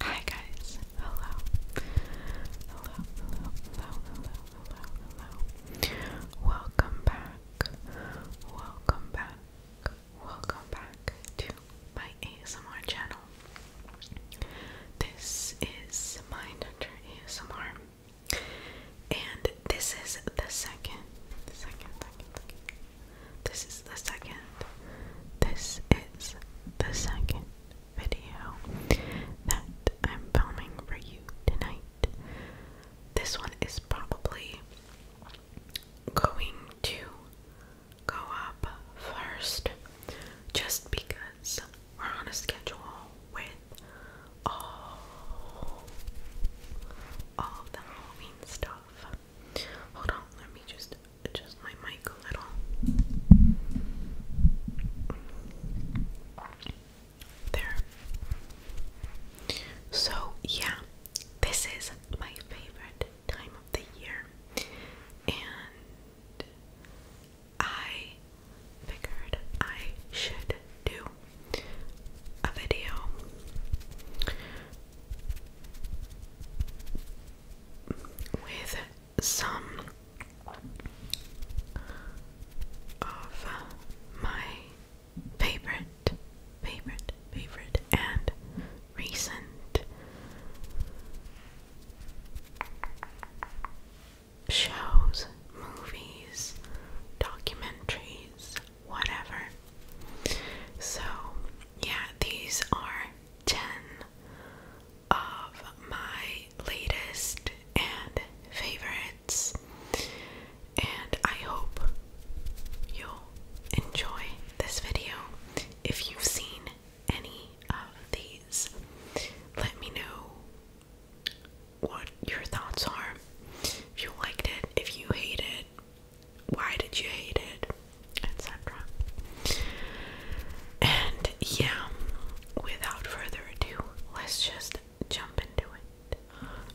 Hi guys. Hello. Hello, hello, hello, hello, hello, Welcome back. Welcome back. Welcome back to my ASMR channel. This is Mindhunter ASMR and this is the second, second, second. This is the second. This is the second video that I'm filming for you tonight. This one is probably going to go up first just because we're on a schedule with all all the Halloween stuff. Hold on, let me just adjust my mic a little. There. So yeah, this is my favorite time of the year, and I figured I should do a video. With some of my favorite, favorite, favorite, and recent shows, movies, documentaries, whatever. So, yeah, these are 10 of my latest and favorites, and I hope you'll enjoy this video. If you've seen any of these, let me know what your thoughts are. If you liked it, if you hated why did you hate it? Etc. And yeah, without further ado, let's just jump into it.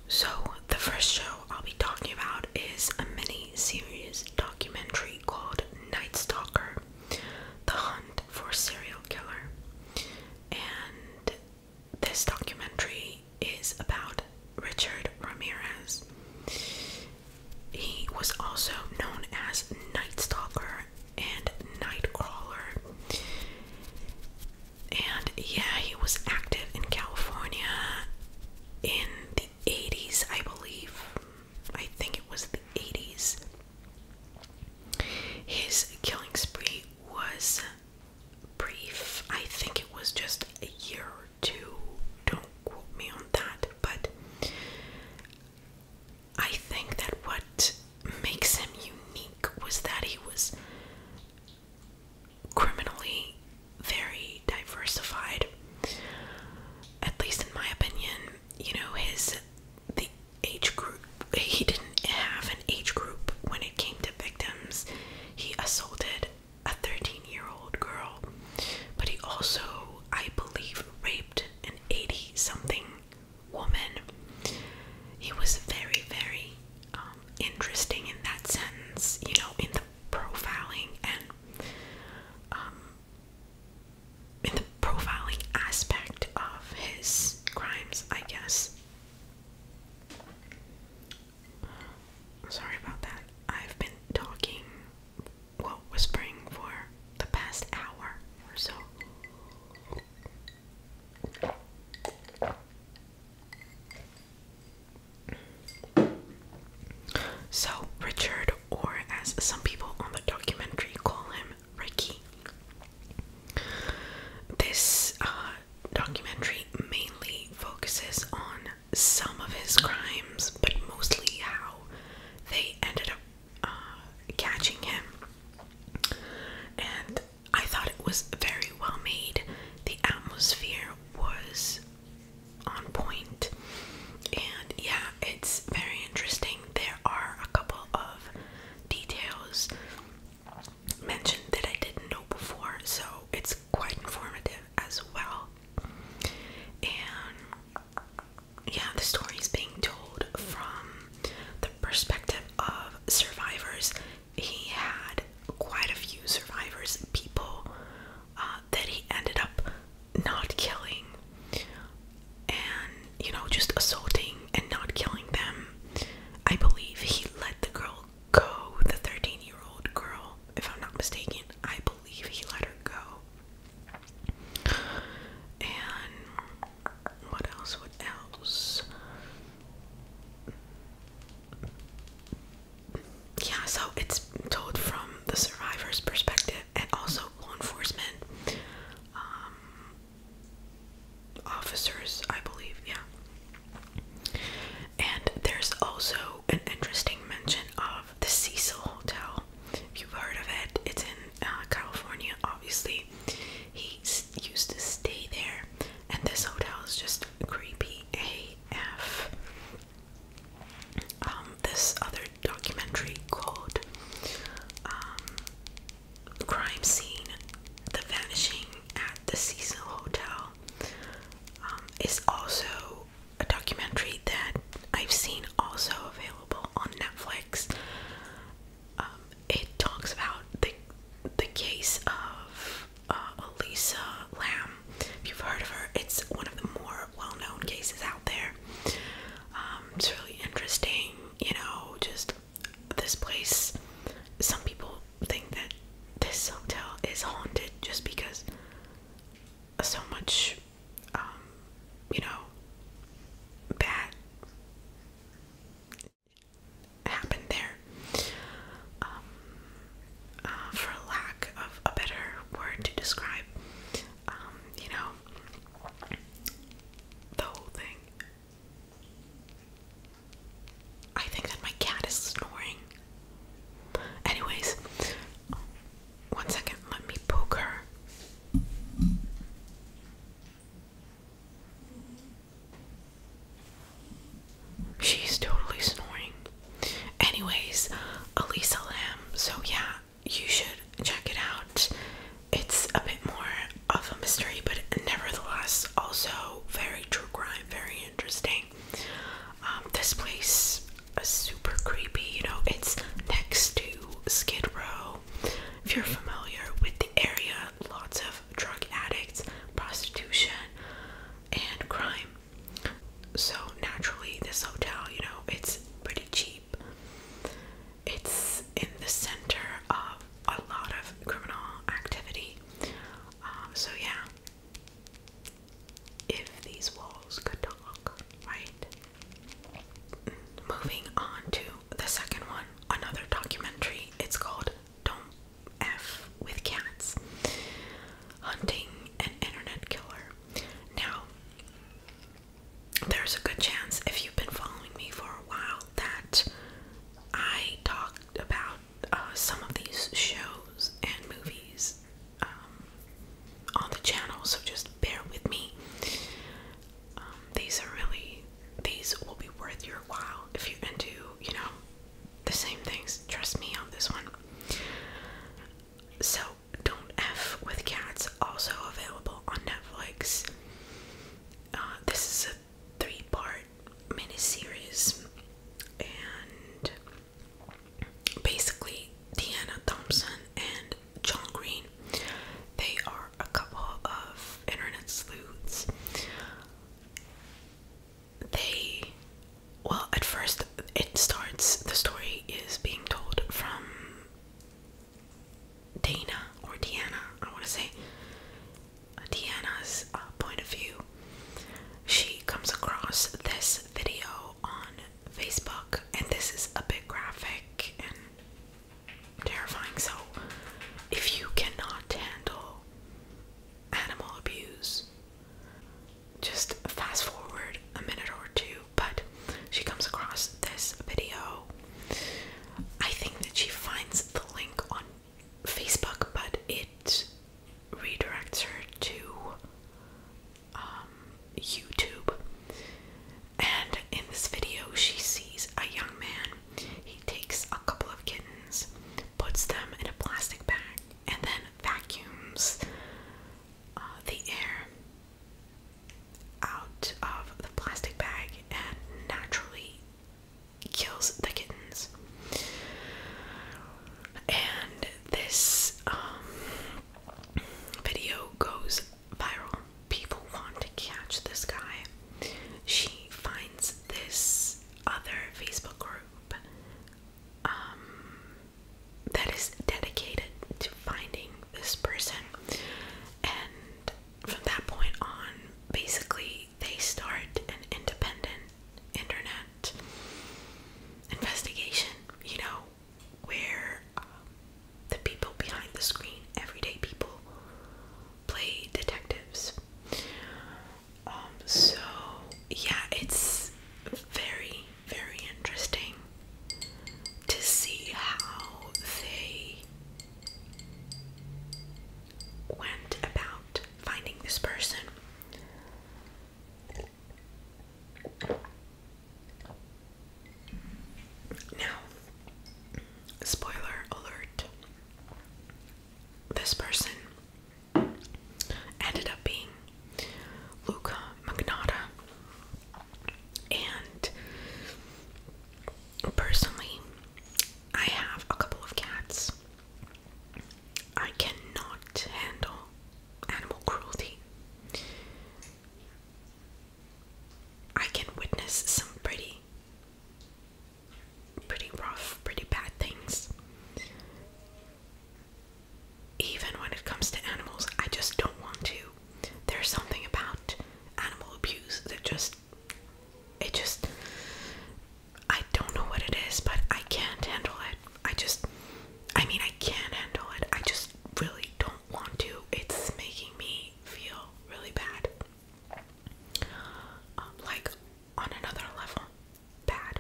So, the first show I'll be talking about is a mini series documentary called Night Stalker The Hunt for Serial Killer. And this documentary is about Richard Ramirez. He was also known as Night Stalker and Night Crawler. And yeah, he was active in California in the 80s, I believe. I think it was the 80s. His killing spree was brief. I think it was just a year or two. Don't quote me on that, but I think that what makes him unique was that he was criminally very diversified. At least in my opinion, you know, his the age group he didn't have an age group when it came to victims. He assaulted a 13 year old girl, but he also, I believe, raped an 80 something woman. He was very, very um, interesting in that sense, you know, in the profiling and um, in the profiling aspect of his crimes, I guess. Sorry about that. I've been talking, well, whispering for the past hour or so. So, Richard, or as some people on the documentary call him, Ricky. This uh, documentary mainly focuses on some of his crimes, but mostly how they ended up uh, catching him. And I thought it was very well made. The atmosphere was on And yeah, it's very interesting. There are a couple of details mentioned that I didn't know before, so it's quite informative as well. And yeah, the story is being told from the perspective of survivors. He had quite a few survivors, people uh, that he ended up not killing and, you know, just assaulting and not killing them. I believe he let the girl go, the 13 year old girl, if I'm not mistaken. I believe he let her go. And what else? What else? Yeah, so it's told from the survivor's perspective and also law enforcement um, officers, I believe. Yeah. And there's also an interesting mention of the Cecil Hotel. If you've heard of it, it's in uh, California, obviously. He used to stay there, and this hotel is just creepy AF. Um, this other documentary called um, Crime Scene The Vanishing at the Cecil Hotel um, it's also a documentary that I've seen also available on Netflix. Um, it talks about the the case of uh, Elisa Lamb. If you've heard of her, it's one of the more well-known cases out there. Um, it's really interesting, you know. Just this place. Some people think that this hotel is haunted just because so much, um, you know, bad happened there. Um, uh, for lack of a better word to describe, um, you know, the whole thing. I think that my cat is snoring. Anyways, one second, let me poke her. She's totally snoring. Anyways, Elisa Lamb, so yeah, you should check it out. It's a bit more of a mystery, but nevertheless, also very true crime, very interesting. Um, this place is super creepy. You know, it's next to Skid Row. If you're familiar with the area, lots of drug addicts, prostitution, and crime. So naturally, this hotel, you know, it's pretty cheap. It's in the center of a lot of criminal activity. Um, so yeah, if these walls could talk, right? Moving on to the second one, another documentary. It's called Don't F with Cats Hunting an Internet Killer. Now, there's a good chance if you've been following me for a while that I talked about uh, some of these shows and movies um, on the channel, so just bear with me. Um, these are really, these will be worth your while if you into, you know, the same things. Trust me on this one. So, Don't F with Cats, also available on Netflix. Uh, this is a three part miniseries, and basically Diana Thompson and John Green. They are a couple of internet sleuths. They, well, at first it starts, the story is being told from Dana or Diana. I want to say, Diana's uh, point of view. She comes across this video on Facebook, and this is a bit graphic and terrifying. So, if you cannot handle animal abuse, just fast forward a minute or two. But she comes across this video. I think that she finds the link on Facebook, but it redirects her to um, YouTube. And in this video, she sees a young man. He takes a couple of kittens, puts them in a plastic bag, and then vacuums uh, the air out of the plastic bag and naturally kills the kittens and this um, video goes viral. People want to catch this guy. She finds this other Facebook group um, that is dedicated to finding this person, and from that point on, basically they start an independent internet investigation, you know, where um, the people behind the screen, everyday people, play detectives. Um, so yeah, it's very, very interesting to see how they went about finding this person. Now, spoiler alert this person ended up being Luca Magnotta, and personally, I have a couple of cats. I cannot handle animal cruelty. I can witness some pretty, pretty rough, pretty bad things. Even when it comes to animals, I just don't want to. There's something about animal abuse that just, it just, I don't know what it is, but I can't handle it. I just, I mean, I can't handle it. I just really don't want to. It's making me feel really bad. Um, like, on another level, bad.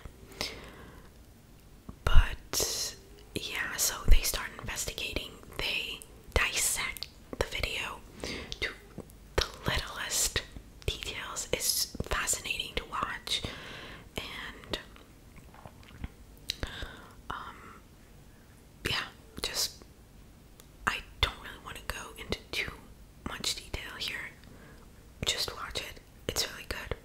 But, yeah, so they start investigating. They dissect the video to the littlest details is fascinating to watch and um, yeah just I don't really want to go into too much detail here just watch it it's really good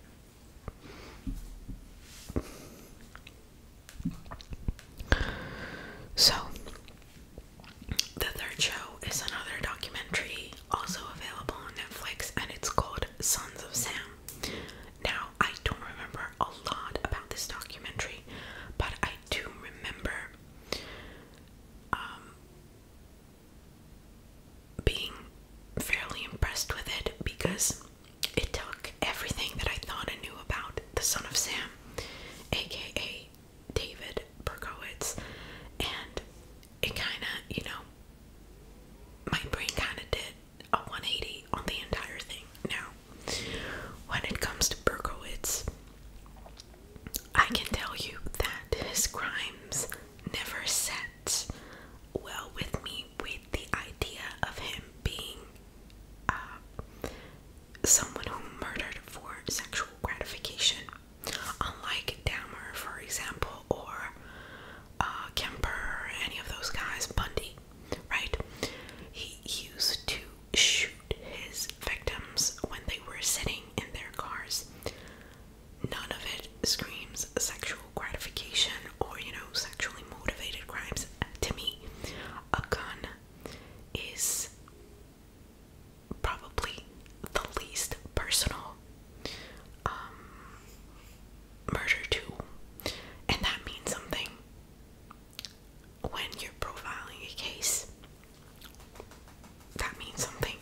so, the third show is another documentary also available on Netflix, and it's called Sons of Sam. Now, I don't remember a lot about this documentary, but I do remember um, being fairly impressed with it because it took everything that I thought I knew about the Son of Sam, aka David Berkowitz, and it kind of, you know, my brain kind of did a 180 on the entire thing. Now, when it comes to Berkowitz, I can tell you that his crimes never sat well with me with the idea of him being uh, someone who murdered for sexual gratification. Unlike Dahmer, for example, or uh, Kemper, any of those guys, Bundy, right? He used to shoot his victims when they were sitting in their cars. None of it screams sexual gratification or, you know, sexually motivated crimes. To me, a gun is probably the least personal um, murder too, and that means something when you're profiling a case. That means something,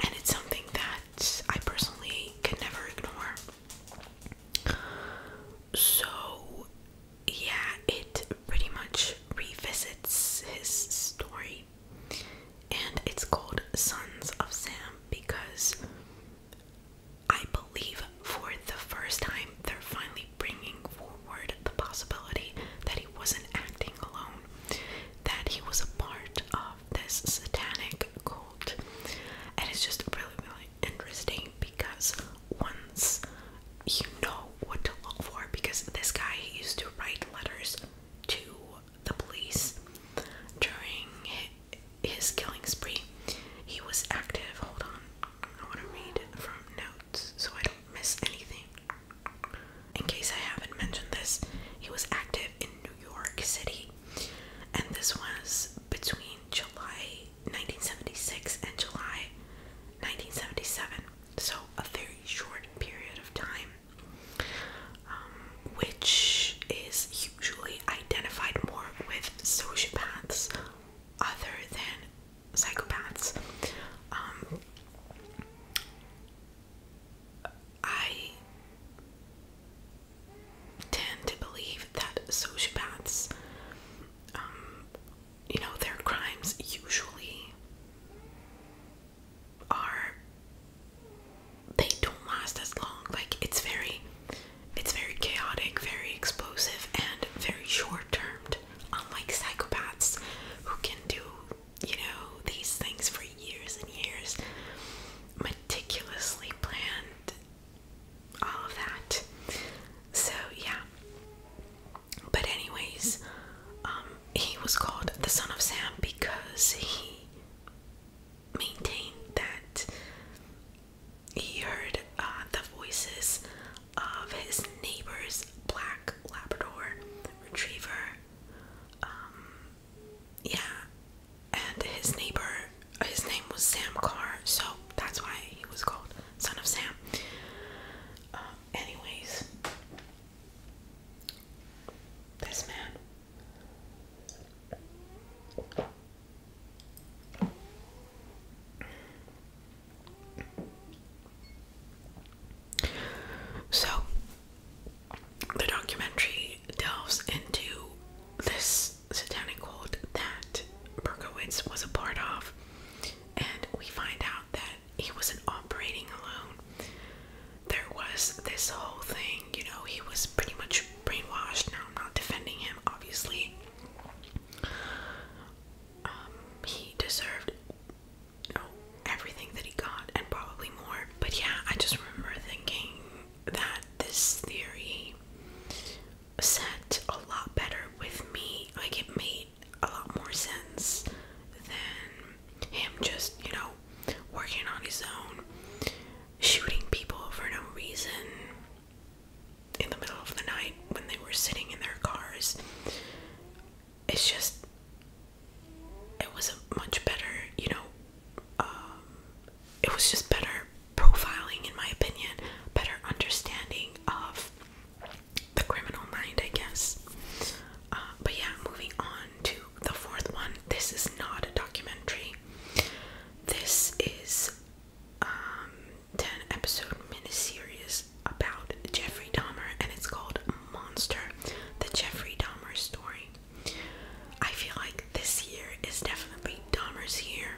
and it's something that I personally can never ignore. So, yeah, it pretty much revisits his story and it's called Sons of Sam because I believe for the first time they're finally bringing forward the possibility that he wasn't acting alone, that he was a part of this satanic cult. And it's just really, really interesting because once you know what to look for, because this guy used to write letters to the police during his killing spree. He was active. Hold on, I want to read from notes so I don't miss anything. In case I haven't mentioned this, he was active in New York City, and this was between July 1976 and July 1977, so a very short period of time. Um, which is usually identified more with sociopaths other than psychopaths. Um, I tend to believe that sociopaths, um, you know, their crimes usually are they don't last as long. Like it's very it's very chaotic, very explosive and very short termed. Unlike psychopaths who can do, you know, these things for years and years. Meticulously planned all of that. So yeah. But anyways, um, he was called the son of Sam because he maintain that he heard uh, the voices of his neighbor's black Labrador retriever. Um, yeah, and his neighbor, his name was Sam Carr, so that's why he was called Son of Sam. Um, anyways, this man so, the documentary delves into this satanic cult that Berkowitz was a part of, and we find out that he wasn't operating alone there was this whole thing, you know, he was pretty much brainwashed. Now, I'm not defending him, obviously. Um, he deserved you everything that he got and probably more. But yeah, I just remember thinking that this theory sat a lot better with me. Like, it made a lot more sense than him just, you know, working on his own, shooting people for no reason in the middle of the night when they were sitting in their cars. It's just, it was a much better, you know, um, it was just better profiling, in my opinion, better understanding of the criminal mind, I guess. Uh, but yeah, moving on to the fourth one. This is not a documentary. This is um 10 episode miniseries about Jeffrey Dahmer and it's called Monster, the Jeffrey Dahmer story. I feel like this year is definitely Dahmer's year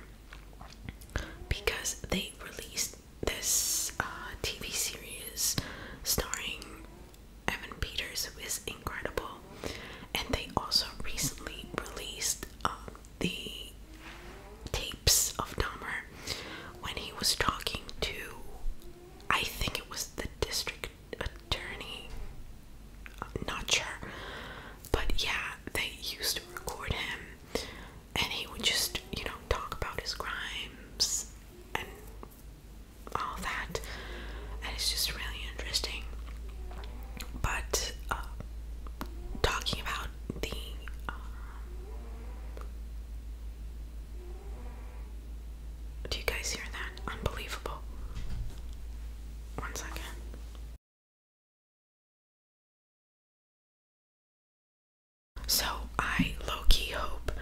because they released this uh, TV series starring Evan Peters, who is incredible. And they also recently released um, the tapes of Dahmer when he was talking to, I think it was the district attorney. not sure. But yeah, they used to record him and he would just, you know, talk about his crimes and all that, and it's just really interesting. But uh, talking about the uh, do you guys hear that? Unbelievable. One second. So I low key hope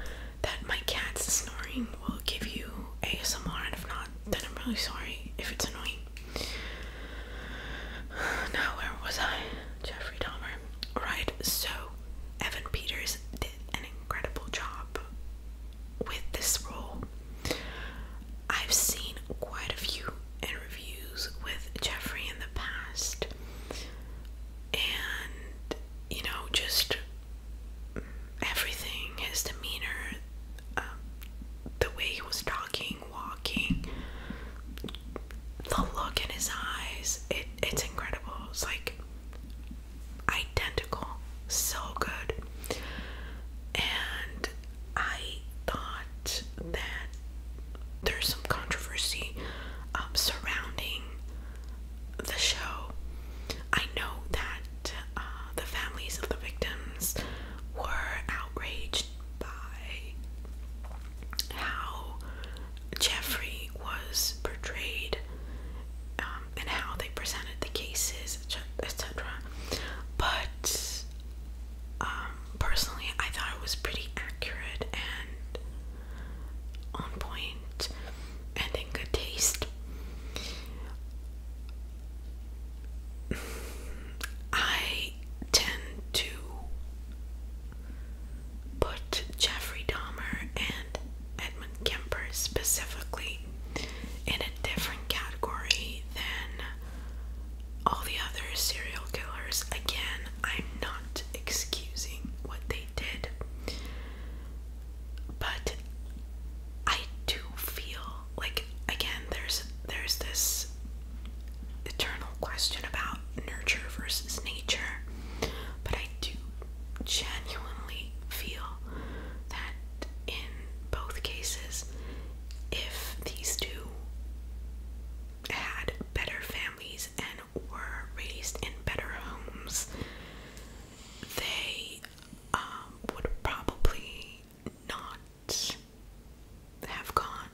that my cat's snoring one will give you ASMR, and if not, then I'm really sorry if it's annoying. Now, where was I? Jeffrey Dahmer. Alright, so Evan Peters did an incredible job with this role. I've seen quite a few interviews with Jeffrey in the past, and you know, just everything, his demeanor, um, the way he was talking, walking, the look in his eyes, it, it's incredible. It's like identical, so good. And I thought that there's some controversy um, surrounding the show I know that uh, the families of the victims were outraged by how Jeffrey was portrayed um, and how they presented the cases, etc. But um, personally, I thought it was pretty accurate and on point and in good taste. I tend to put Jeffrey Dahmer and Edmund Kemper specifically in a different category than all the other serial killers. Again, I'm not excusing what they did, but I do feel like again there's there's this eternal question about nurture versus nature, but I do genuinely feel that in both cases, if these two had better families and were raised in better homes, they um, would probably not have gone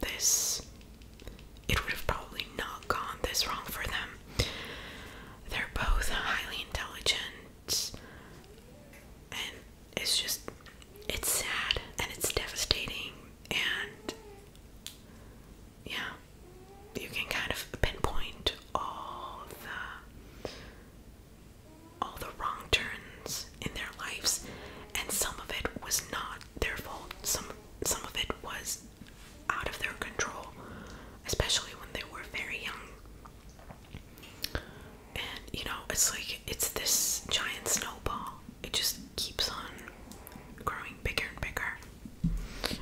this it would have probably not gone this wrong for them. They're both highly intelligent and it's just it's sad and it's devastating and yeah you can kind of pinpoint all the all the wrong turns in their lives and some of it was not their fault some some of it was out of their control especially when they were very young and you know it's like it's this giant snowball it just keeps on growing bigger and bigger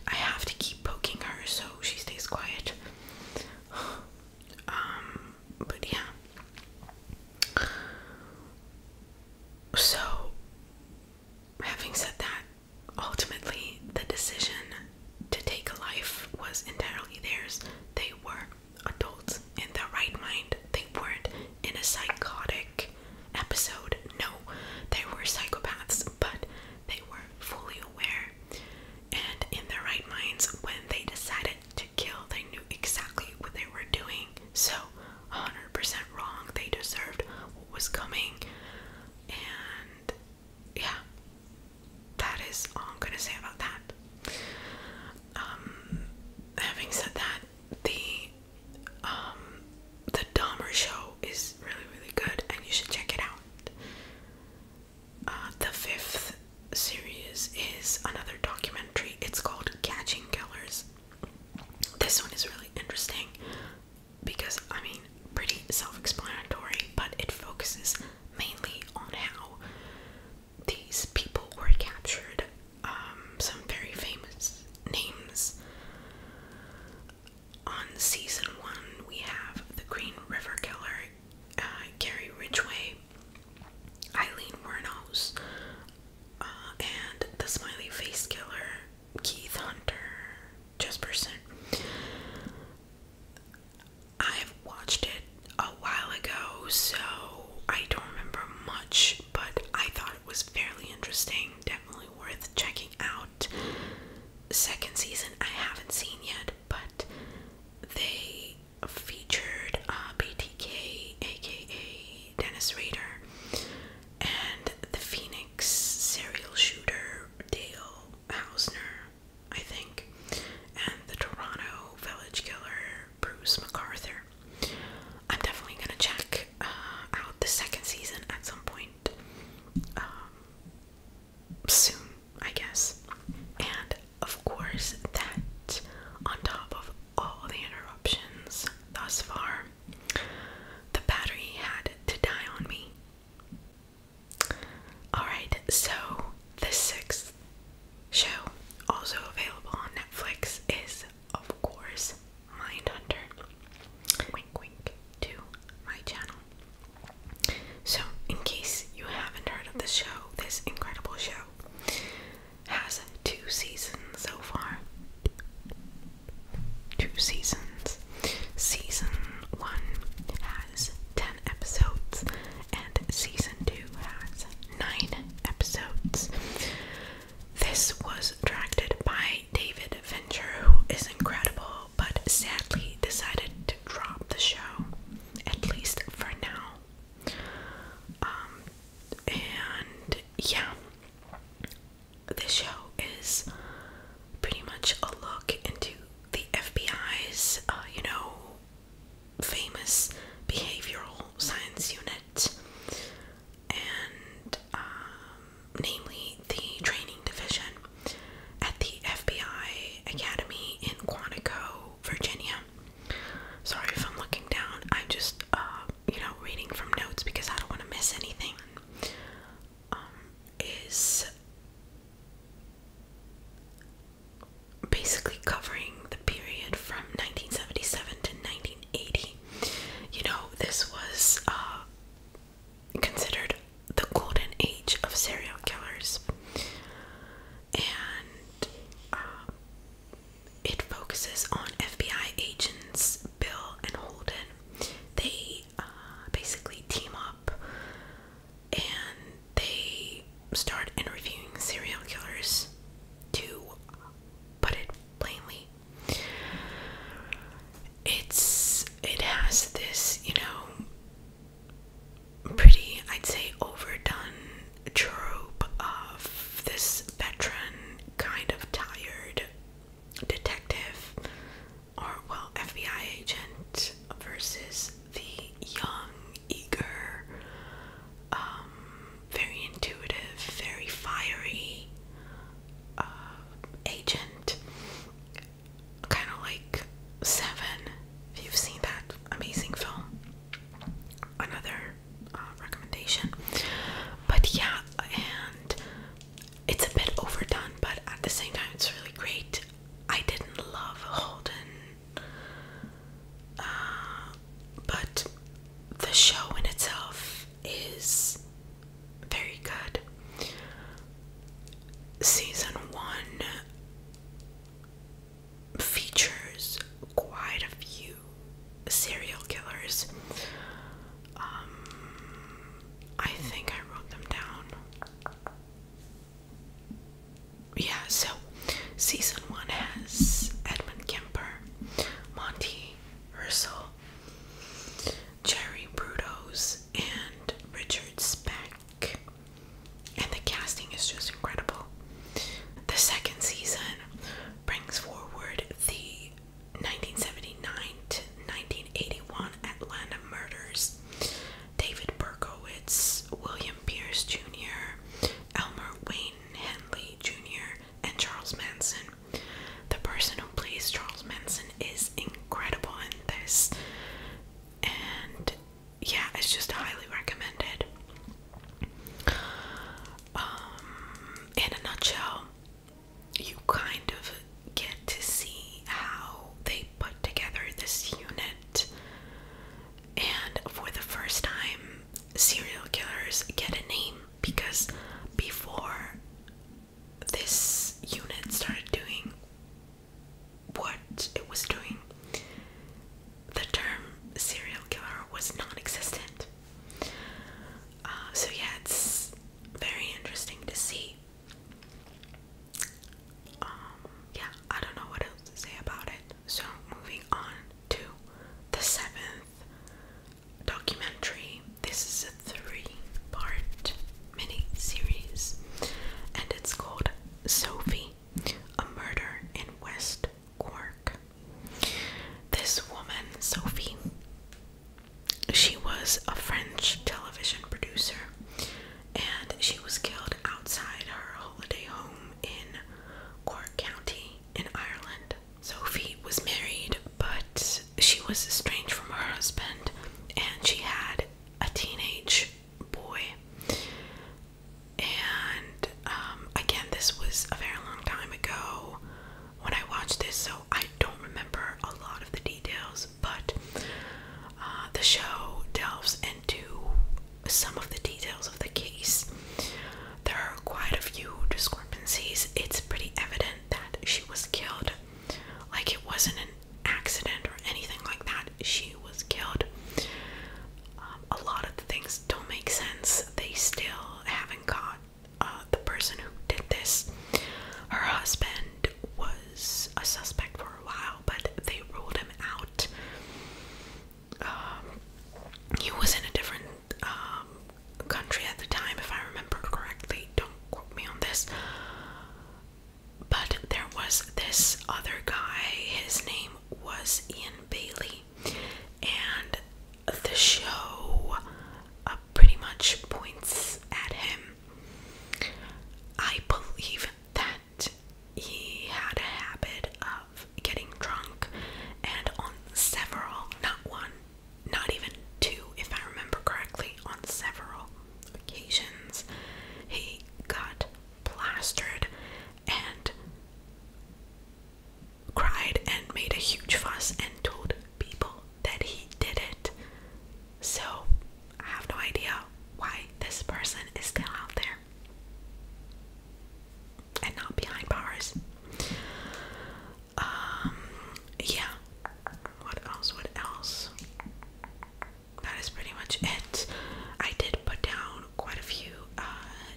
I have to keep poking her so she stays quiet. Um, but yeah. So, having said that, ultimately the decision to take a life was entirely theirs. They were adults in their right mind. They weren't in a psychotic episode. No, they were psychopaths, but they were fully aware and in their right minds when they decided to kill, they knew exactly what they were doing. So, 100% wrong. They deserved what was coming. And yeah, that is all I'm gonna say about that. Um, having said that, the um, the Dahmer Show is really, really good, and you should check it out. Uh, the fifth series is another documentary. It's called Catching Killers. This one is really interesting because, I mean, pretty self explanatory, but it focuses mainly on how these people were captured. Um, some very famous names on season one, we have the Green River Killer, uh, Gary Ridgway, Eileen Wernos, uh, and the Smiley Face Killer, Keith Hunter, Jesperson. I've watched it a while ago, so I don't remember much, but I thought it was fairly interesting, definitely worth checking out. Second season I haven't seen yet, but they featured uh, BTK, aka Dennis Rader, and the Phoenix serial shooter Dale Hausner, I think, and the Toronto village killer Bruce MacArthur. I'm definitely gonna check uh, out the second season at some point mind um, I guess. And of course, that on top of all the interruptions thus far, the battery had to die on me. Alright, so the sixth show, also available on Netflix, is of course Mindhunter. Wink wink to my channel. So, in case you haven't heard of this show, this incredible show has two seasons so far. Two seasons. Season 1 has 10 episodes, and season 2 has 9 episodes. This was directed by David Fincher, who is incredible, but sadly decided to drop the show, at least for now. Um, and yeah, this show is pretty much a look into the FBI's, uh, you know, famous behavioral science unit. And um, namely the training division at the FBI Academy in Quantico, Virginia. Sorry if I'm looking down. I'm just, uh, you know, reading from notes because I don't want to miss anything. Um, is basically covering the period from 1977 to 1980. You know, this was uh, considered the golden age of serial killers, and um, it focuses on FBI agents Bill and Holden. They uh, basically team up and they start interviewing serial killers to put it plainly it's it has this, you know, pretty I'd say overdone trope of this veteran kind of tired detective or well FBI agent versus the young, eager, um, very intuitive, very fiery uh, agent kind of like Seven, if you've seen that amazing film. Another uh, recommendation. But yeah, and it's a bit overdone, but at the same time, it's really great. I didn't love Holden, uh, but the show in itself is very good. Season one features quite a few serial killers. Um, I think I wrote them down. Yeah, so season one has Edmund Kemper, Monty Ursel, Jerry Brudos, and Richard Speck. And the casting is just incredible. The second season brings forward the 1979 to 1981 Atlanta murders. David Berkowitz, William Pierce Jr., Elmer Wayne Henley Jr., and Charles Manson. The person who plays Charles Manson is incredible in this, and yeah, it's just highly recommended. Um, in a nutshell, you kind of get to see how they put together this unit, and for the first time, serial killers get a name because before this unit started doing what it was doing, the term serial killer was non existent. Uh, so, yeah, it's very interesting to see. Um, yeah, I don't know what else to say about it. So, moving on to the seventh documentary. This is three part mini series, and it's called Sophie A Murder in West Cork. This woman, Sophie, she was a French television producer and she was killed outside her holiday home in Cork County in Ireland. Sophie was married but she was estranged from her husband and she had a teenage boy. And um, again, this was a very long time ago when I watched this, so I don't remember a lot of the details, but uh, the show delves into some of the details of the case. There are quite a few discrepancies. It's pretty evident that she was killed. Like, it wasn't an accident or anything like that. She was killed. Um, a lot of the things don't make sense. They still haven't caught uh, the person who did this. Her husband was a suspect for a while, but they ruled him out. Um, he was in a different um, country at the time, if I remember correctly. Don't quote me on this. But there was this other guy, his name was Ian Bailey, and the show uh, pretty much points at him. I believe that he had a habit of getting drunk, and on several, not one, not even two, if I remember correctly, on several occasions. He got plastered and cried and made a huge fuss and told people that he did it. So I have no idea why this person is still out there and not behind bars. Um, yeah, what else? What else? That is pretty much it. I did put down quite a few uh,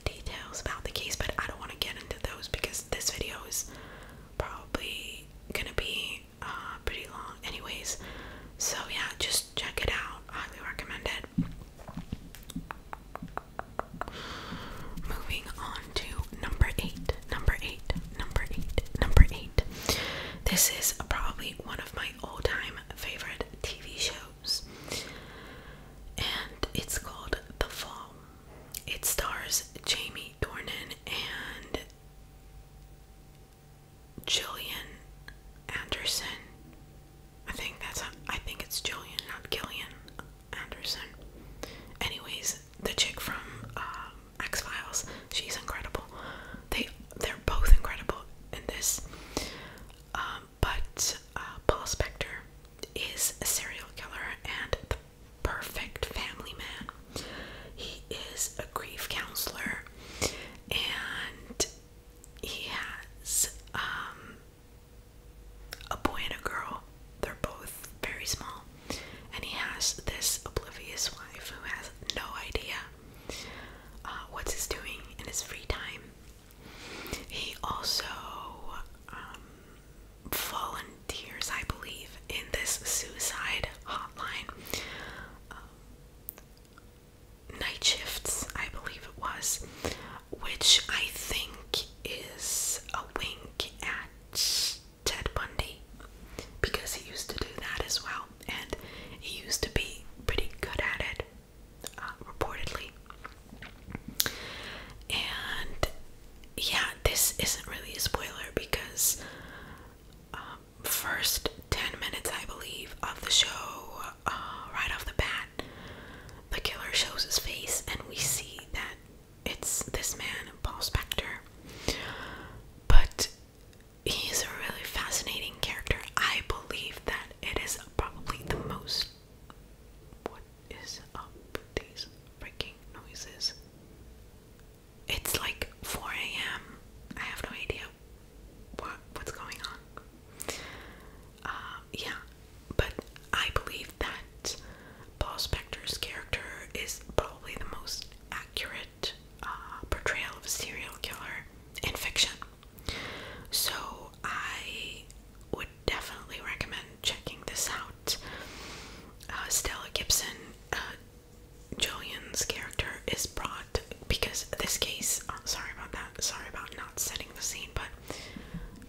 details about the case, but I don't want to get into those because this video is probably gonna be uh, pretty long, anyways. So, yeah, just check it out. Highly recommend it. Moving on to number eight. Number eight, number eight, number eight. This is probably one of my all time favorite TV shows, and it's called The Fall. It stars Jamie Dornan and Jillian Anderson. I think that's a, I think it's Jillian, not Gillian Anderson. Anyways, the chick from um, X Files. She's incredible. They they're both incredible in this. Um, but uh, Paul Spector is a serial killer and the perfect family man. He is a grief counselor and he has um, a boy and a girl. They're both very small and he has this oblivious wife who has no idea uh, what he's doing in his free time. He also um, volunteers, I believe, in this suicide hotline. Um, night shifts, I believe it was, which I think is a wink at Ted Bundy because he used to do that as well, and he used to be pretty good at it, uh, reportedly. And yeah, this isn't really a spoiler because um, first ten minutes, I believe, of the show, uh, right off the bat, the killer shows his face, and we see that it's this man, Paul Spector. But he's a really fascinating character. I believe that it is probably the most. What is up these freaking noises? It's like 4 a.m. I have no idea what what's going on. Uh, yeah, but I believe that Paul Spector's character is probably the most accurate uh, portrayal of a serial killer in fiction. So I would definitely recommend checking this out. Uh, Stella Gibson, uh, Julian's character, is brought because this case. sorry about that. Sorry about not setting the scene, but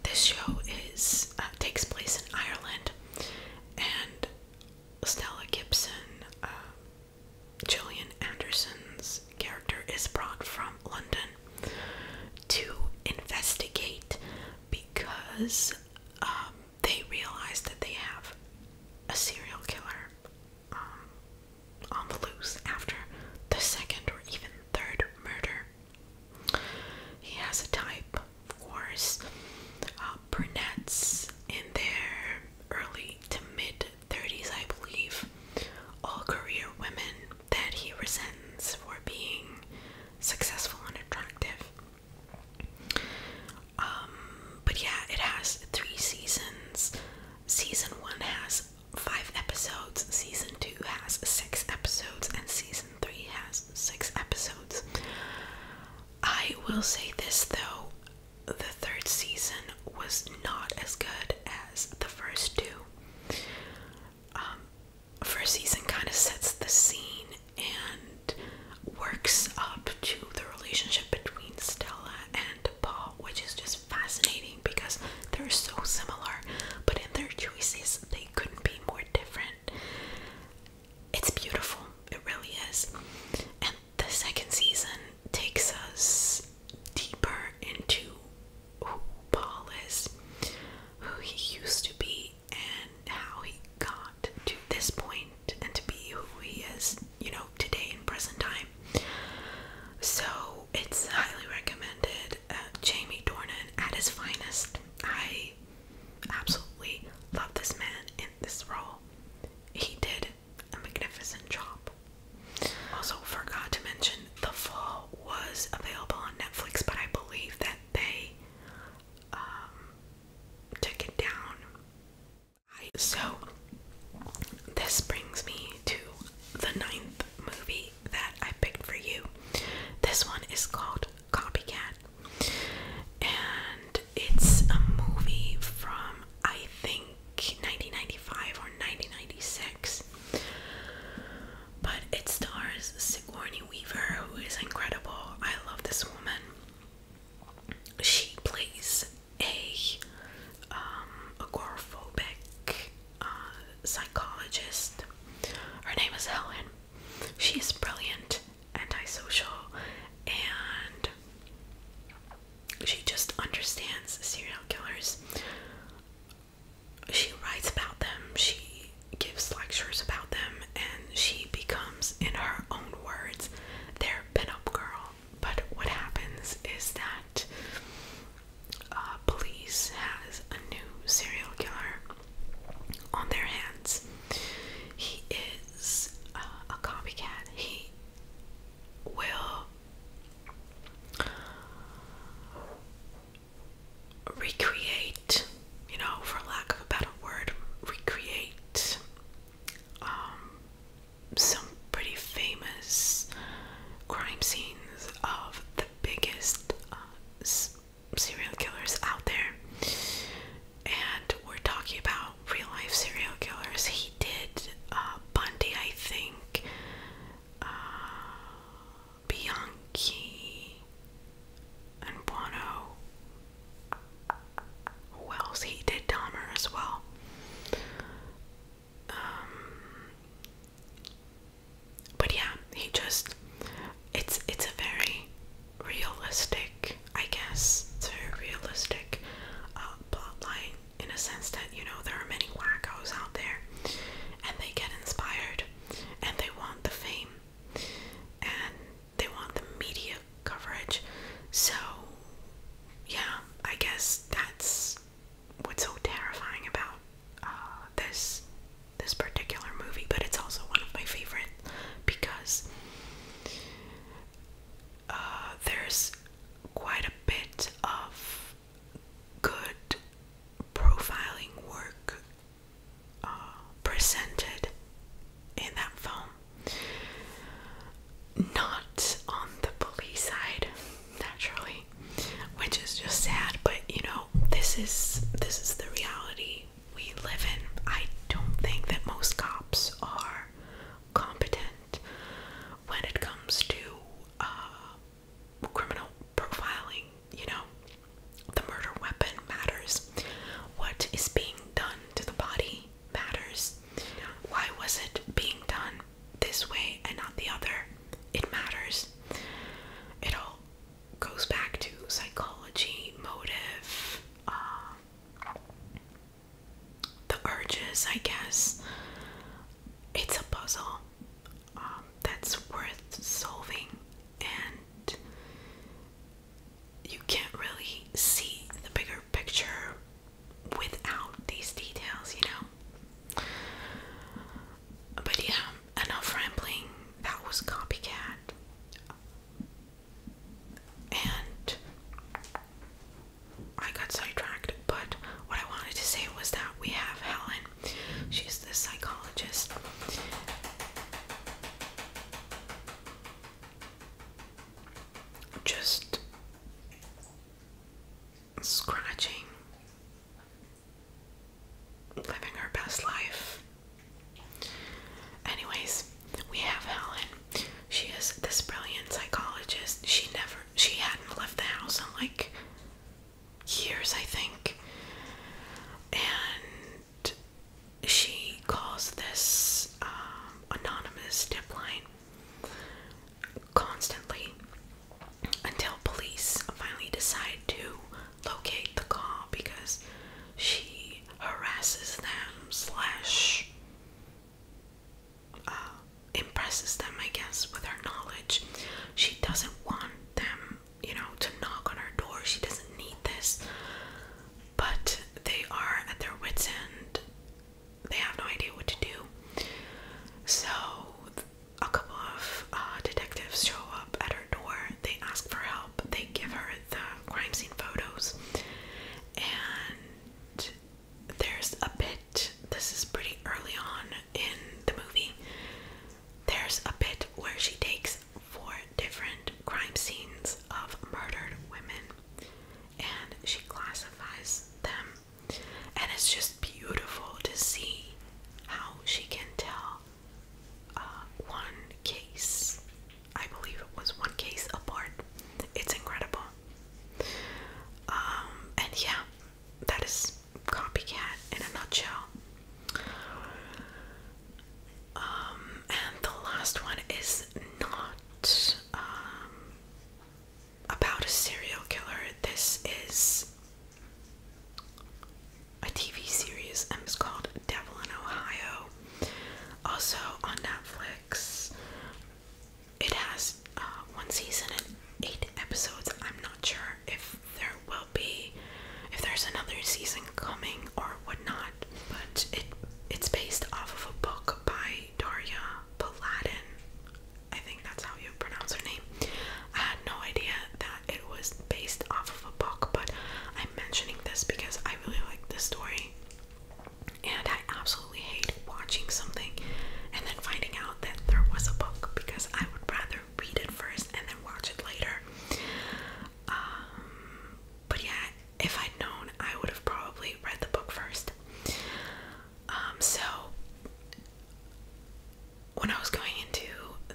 this show is takes place in Ireland, and Stella Gibson, uh, Gillian Anderson's character is brought from London to investigate because um, they realize that they have a serial killer um, on the loose after the second or even third murder. He has a type, of uh, brunettes in their early to mid 30s, I believe, all career women that he resents for being successful and attractive. Um, but yeah, it has three seasons. Season one has five episodes, season two has six episodes, and season three has six episodes. I will say this though, the third season was not as good as the first two. Um, first season kind of sets the scene and works up to the relationship between Stella and Paul, which is just fascinating because they're so similar, but in their choices, they couldn't be more different. It's beautiful, it really is the second season takes us deeper into who Paul is, who he used to be, and how he got to this point and to be who he is, you know, today in present time. So it's highly recommended. Uh, Jamie Dornan at his finest. I absolutely love this man this role, he did a magnificent job. Also, forgot to mention The Fall was available on Netflix, but I believe that they um, took it down. so, this brings me to the ninth movie that I picked for you. This one is called Copycat and it's a movie from I think 1995 or 1996. But it stars Sigourney Weaver, who is incredible. I love this woman. She plays a um, agoraphobic uh, psychologist. Her name is Helen. She is brilliant antisocial and she just understands serial killers. She writes about them, she gives lectures about them, and she becomes, in her own words, their pinup girl. But what happens is that uh, police has a new serial killer on their hands. He is uh, a copycat. He we will recreate, you know, for lack of a better word, recreate um, some pretty famous crime scenes of the biggest uh, serial killers out there and we're talking about real life serial killers. He did uh, Bundy, I think, uh, Bianchi, and Buono. Who He did Dahmer as well. Um, but yeah, he just its it's a very realistic I guess, it's a realistic uh, plotline in a sense that, you know, there are many wackos out there and they get inspired and they want the fame and they want the media coverage. So, yeah, I guess that's what's so terrifying about uh, this this particular movie, but it's also one of my favorite because uh, there's quite a bit of good profiling work uh, presented in that film. Not on the police side, naturally, which is just sad, but you know, this is this is the reality we live in. I don't think that most cops are competent when it comes to uh, criminal profiling. You know, the murder weapon matters. What is being done to the body matters. Why was it being done this way and not the other? It matters. It all goes back to psychology, motive, uh, the urges, I guess. It's a puzzle um, that's worth solving, and you can't really see the bigger picture without these details, you know. But yeah, enough rambling. That was Copycat and I got sidetracked. But what I wanted to say was that we have Helen, she's the psychologist. Just scratching, living her best life. Anyways, we have Helen. She is this brilliant psychologist. She never she hadn't left the house in like years, I think. And she calls this um, anonymous tip line constantly until police finally decide to locate the call because she harasses them slash uh, impresses them, I guess, with her knowledge. She doesn't want them, you know, to knock on her door. She doesn't need this. But they are at their wits' end. They have no idea what to do. So, a couple of uh, detectives show up at her door. They ask for help. They give her the crime scene photos. And there's a bit, this is pretty early on in the movie, there's a bit where she takes four different crime scenes of murdered women and she classifies them. And it's just beautiful to see how she can tell uh, one case I believe it was one case apart. It's incredible. Um, and yeah, that is copycat in a nutshell. Um, and the last one is not um, about a serial killer. This is a TV series and it's called Devil in Ohio. Also on Netflix. It has uh, one season and eight episodes. I'm not sure if there will be, if there's another season coming or whatnot. But it it's based off of a book by Daria Paladin. I think that's how you pronounce her name. I had no idea that it was based off of a book, but I'm mentioning this because I really like the story. And I absolutely hate watching something and then finding out that there was a book because I would rather read it first and then watch it later. Um, but yeah, if I'd known, I would have probably read the book first. Um, so when I was going into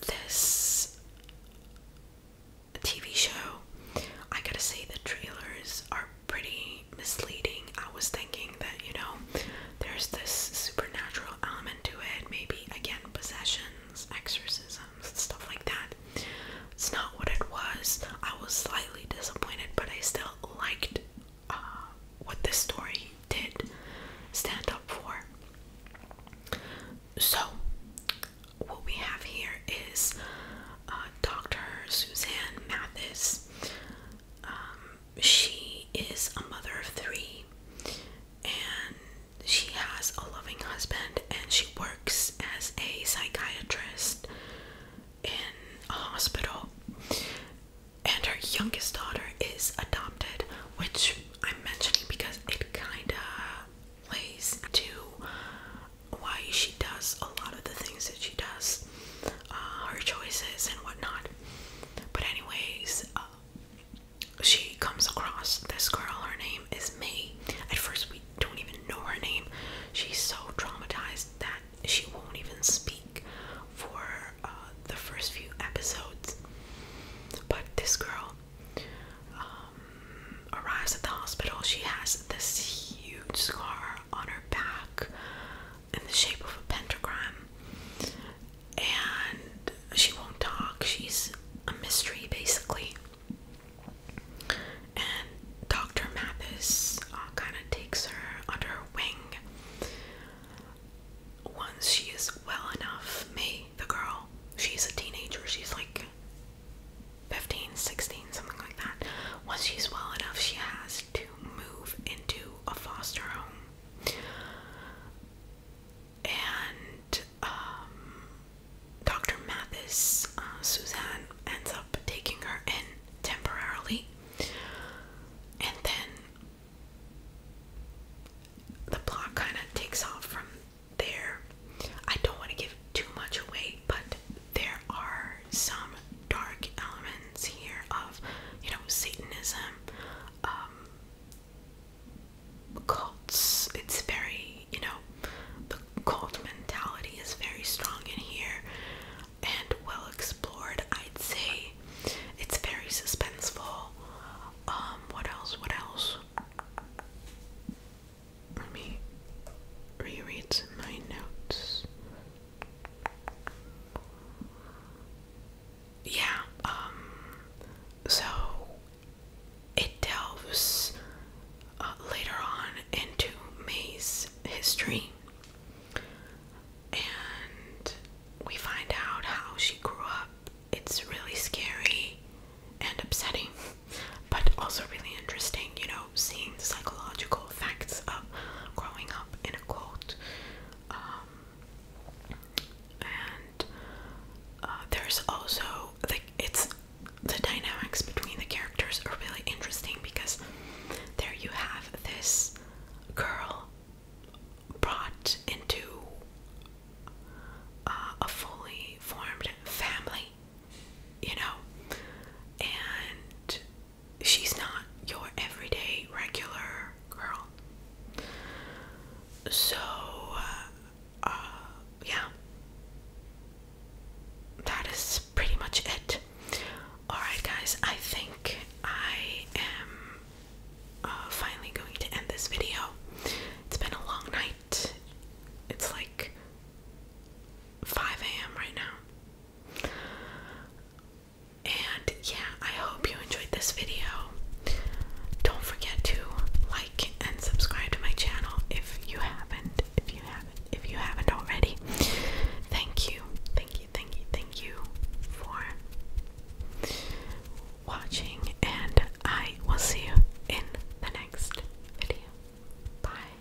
this TV show, I gotta say the trailers are pretty misleading. I was thinking that, you know, there's this supernatural element to it, maybe again, possessions, exorcisms, stuff like that. It's not what it was. I was slightly disappointed, but I still liked uh, what this story did stand up for. So, what we have here is uh, Dr. Suzanne Mathis. Um, she is a mother of three and she has a loving husband and she works as a psychiatrist in a hospital. And her youngest daughter is adopted, which I'm mentioning because it kind of plays to why she does a lot of the things that she does, uh, her choices and whatnot. But anyways, uh, she comes across this girl. Her name is May. At first, we don't even know her name. She's so traumatized that she won't even speak for uh, the first few episodes. But this girl um, arrives at the hospital. She has this huge scar on her back in the shape of a pentagram. And she won't talk. She's a mystery, basically. And Dr. Mathis uh, kind of takes her under her wing. Once she is well enough, me, the girl, she's a teenager. She's like 15, 16, something like that. Once she's well enough, she has to move into a foster home. And um, Dr. Mathis, uh, Suzanne, ends up taking her in temporarily. And then the plot kind of takes off from there. I don't want to give too much away, but there are some dark elements here of, you know, Satanism, um, cults. It's very, you know, the cult mentality is very strong in here and well explored, I'd say. It's very suspenseful. Um, what else? What else? Let me reread my notes yeah, um, so it delves uh, later on into May's history, and we find out how she grew up. It's really scary and upsetting, but also really interesting, you know, seeing psychological effects of growing up in a cult. Um, and uh, there's also like it's the dynamics between the characters are really interesting because there you have this girl brought into uh, a fully formed family, you know, and she's not your everyday regular girl. So, uh, uh, yeah, that is pretty much it. Alright, guys, I think I am uh, finally going to end this video. It's been a long night, it's like 5 a.m. right now. And yeah, I hope you enjoyed this video. Don't forget to like and subscribe to my channel if you haven't, if you haven't, if you haven't already. Thank you, thank you, thank you, thank you for watching, and I will see you in the next video. Bye.